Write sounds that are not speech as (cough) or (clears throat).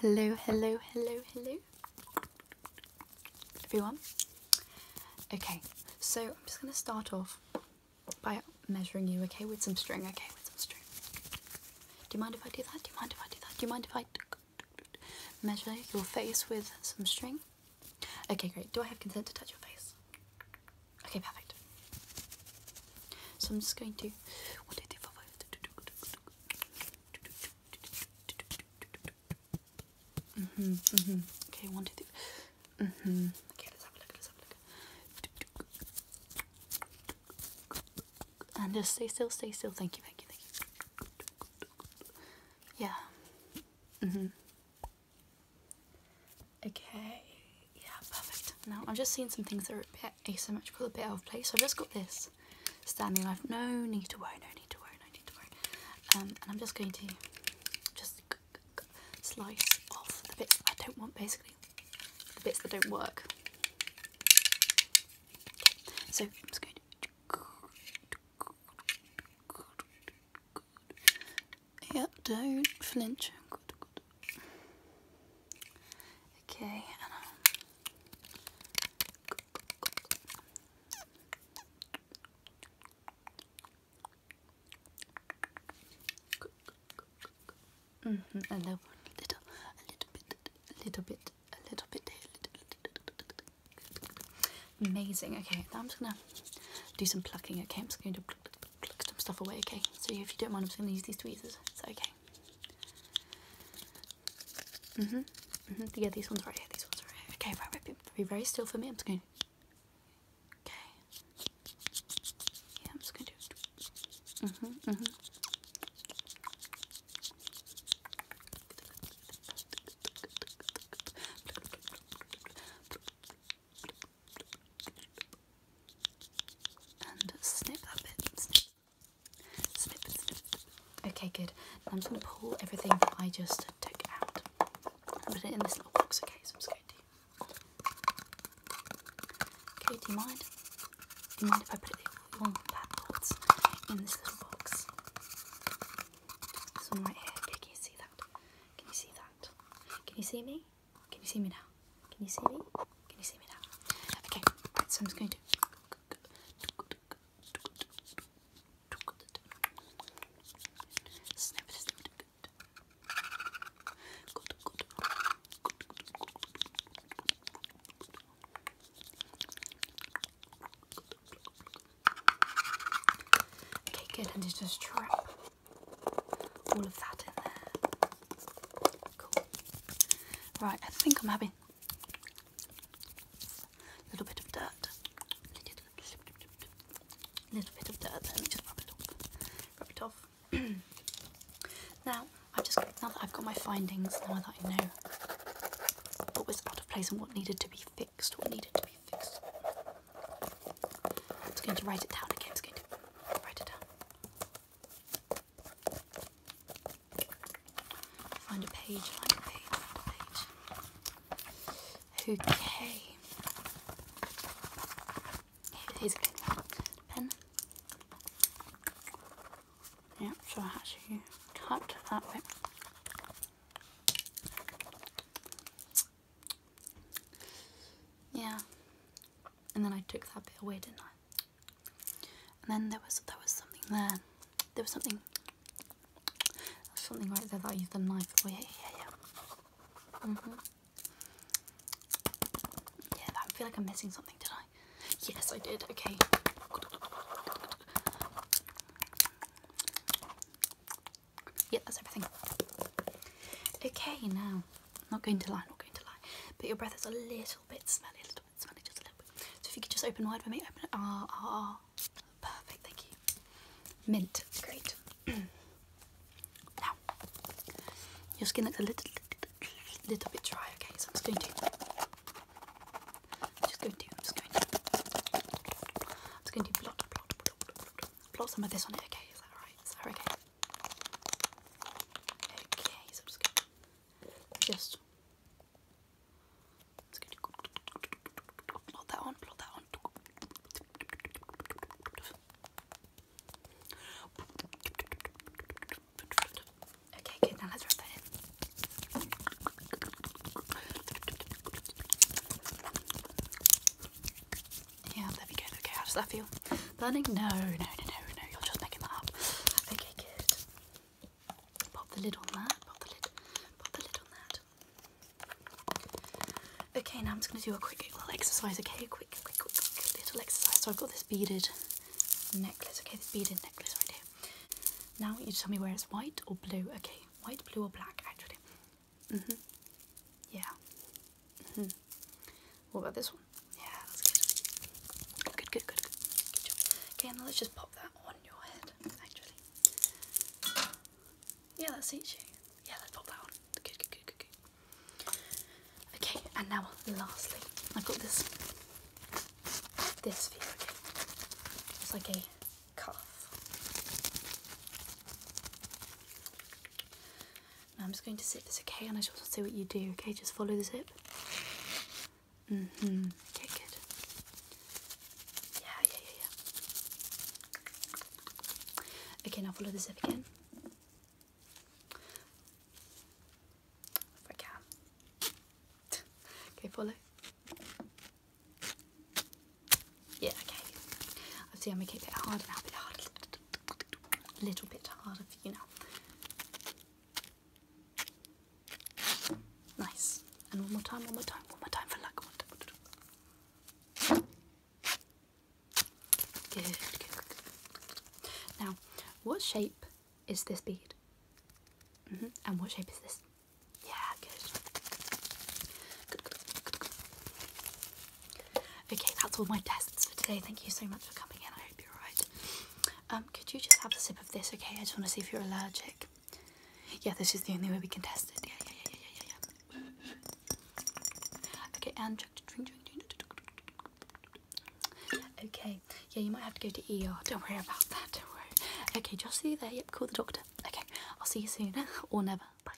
Hello, hello, hello, hello, everyone. Okay, so I'm just going to start off by measuring you, okay, with some string, okay, with some string. Do you mind if I do that? Do you mind if I do that? Do you mind if I measure your face with some string? Okay, great. Do I have consent to touch your face? Okay, perfect. So I'm just going to hmm. Okay. One, two, three. hmm. Okay. Let's have a look. Let's have a look. And just stay still. Stay still. Thank you. Thank you. Thank you. Yeah. Mm hmm. Okay. Yeah. Perfect. Now I'm just seeing some things that are asymmetrical, a bit out of place. So I've just got this standing. i no need to worry, no need to worry, no need to worry. Um, and I'm just going to just slice off the bits I don't want, basically the bits that don't work. So I'm just going to. Yeah, don't flinch. Good, good, Okay, -hmm. and then um, mm-hmm, a little, a little bit, a little bit, a little bit, Amazing. Okay, now I'm just gonna do some plucking. Okay, I'm just going to pluck, some stuff away. Okay, so if you don't mind, I'm just gonna use these tweezers. It's okay? Mm-hmm. Mm -hmm. Yeah, these ones right here, these ones right here. Okay, right, right, be very still for me. I'm just going to... Okay. Yeah, I'm just going to... Mm-hmm, mm-hmm. And snip that bit, snip Okay, good. I'm just going to pull everything that I just took out and put it in this little box, okay? So I'm just going to. Okay, do you mind? Do you mind if I put it along backwards in this little box? This one right here. Okay, can you see that? Can you see that? Can you see me? Can you see me now? Can you see me? Can you see me now? Okay, so I'm just going to. Snip it, snip it. Okay, good. And just trap all of that in there. Right, I think I'm having a little bit of dirt. A little bit of dirt. Let me just rub it off. Rub it off. (clears throat) now, I've just now that I've got my findings, now that I know what was out of place and what needed to be fixed, what needed to be fixed. I'm just going to write it down again. I'm just going to write it down. Find a page, find a a page. Okay. Here's a good Pen. Yeah, so I actually cut that bit. Yeah, and then I took that bit away, didn't I? And then there was there was something there. There was something there something right there that I used the knife. Oh yeah, yeah, yeah. Mm -hmm. Yeah, I feel like I'm missing something, did I? Yes, I did. Okay. Yeah, that's everything. Okay, now I'm not going to lie, I'm not going to lie. But your breath is a little bit smelly, a little bit smelly, just a little bit. So if you could just open wide for me, open it. Ah, ah, ah. Perfect, thank you. Mint, great. (clears throat) now, your skin looks a little, little, little bit dry, okay? So I'm just going to. I'm just going to, I'm just going to. I'm just going to blot, blot, blot, blot, blot, blot some of this on it, okay? Is that alright? Is that okay? Okay, so i just plot that one, plot that one. Okay, good. Now let's wrap that in. Yeah, there we go. Okay, how does that feel? Burning? No, no, no, no, no. You're just making that up. Okay, good. Pop the lid on that. Pop the lid. Pop the lid on that. Okay, now I'm just going to do a quick little exercise, okay? Quick, quick, quick, quick little exercise. So I've got this beaded necklace, okay? This beaded necklace right here. Now you tell me where it's white or blue. Okay, white, blue or black, actually. Mm-hmm. Yeah. Mm-hmm. What about this one? Yeah, that's good. Good, good, good, good. good Okay, now let's just pop that on your head, actually. Yeah, that suits you. Yeah, let's pop that on. Good, good, good, good, Okay, and now lastly, I've got this this for okay? It's like a cuff. I'm just going to zip this, okay? And I just want to see what you do, okay? Just follow the zip. Mm hmm Okay, good. Yeah, yeah, yeah, yeah. Okay, now follow the zip again. If I can. okay, follow. Yeah, okay. I see I'm making it a bit harder now, harder a little bit harder for you now. Nice. And one more time, one more time, one more time for luck. Good, Now, what shape is this bead? Mm-hmm. And what shape is this? Yeah, good. Okay, that's all my tests for today. Thank you so much for coming in. I hope you're alright. Um, could you just have a sip of this, okay? I just want to see if you're allergic. Yeah, this is the only way we can test it. Yeah, yeah, yeah, yeah, yeah, yeah. Okay, and drink, drink, drink. Okay, yeah, you might have to go to ER. Don't worry about that. Don't worry. Okay, just see you there. Yep, call the doctor. Okay, I'll see you soon (laughs) or never. Bye.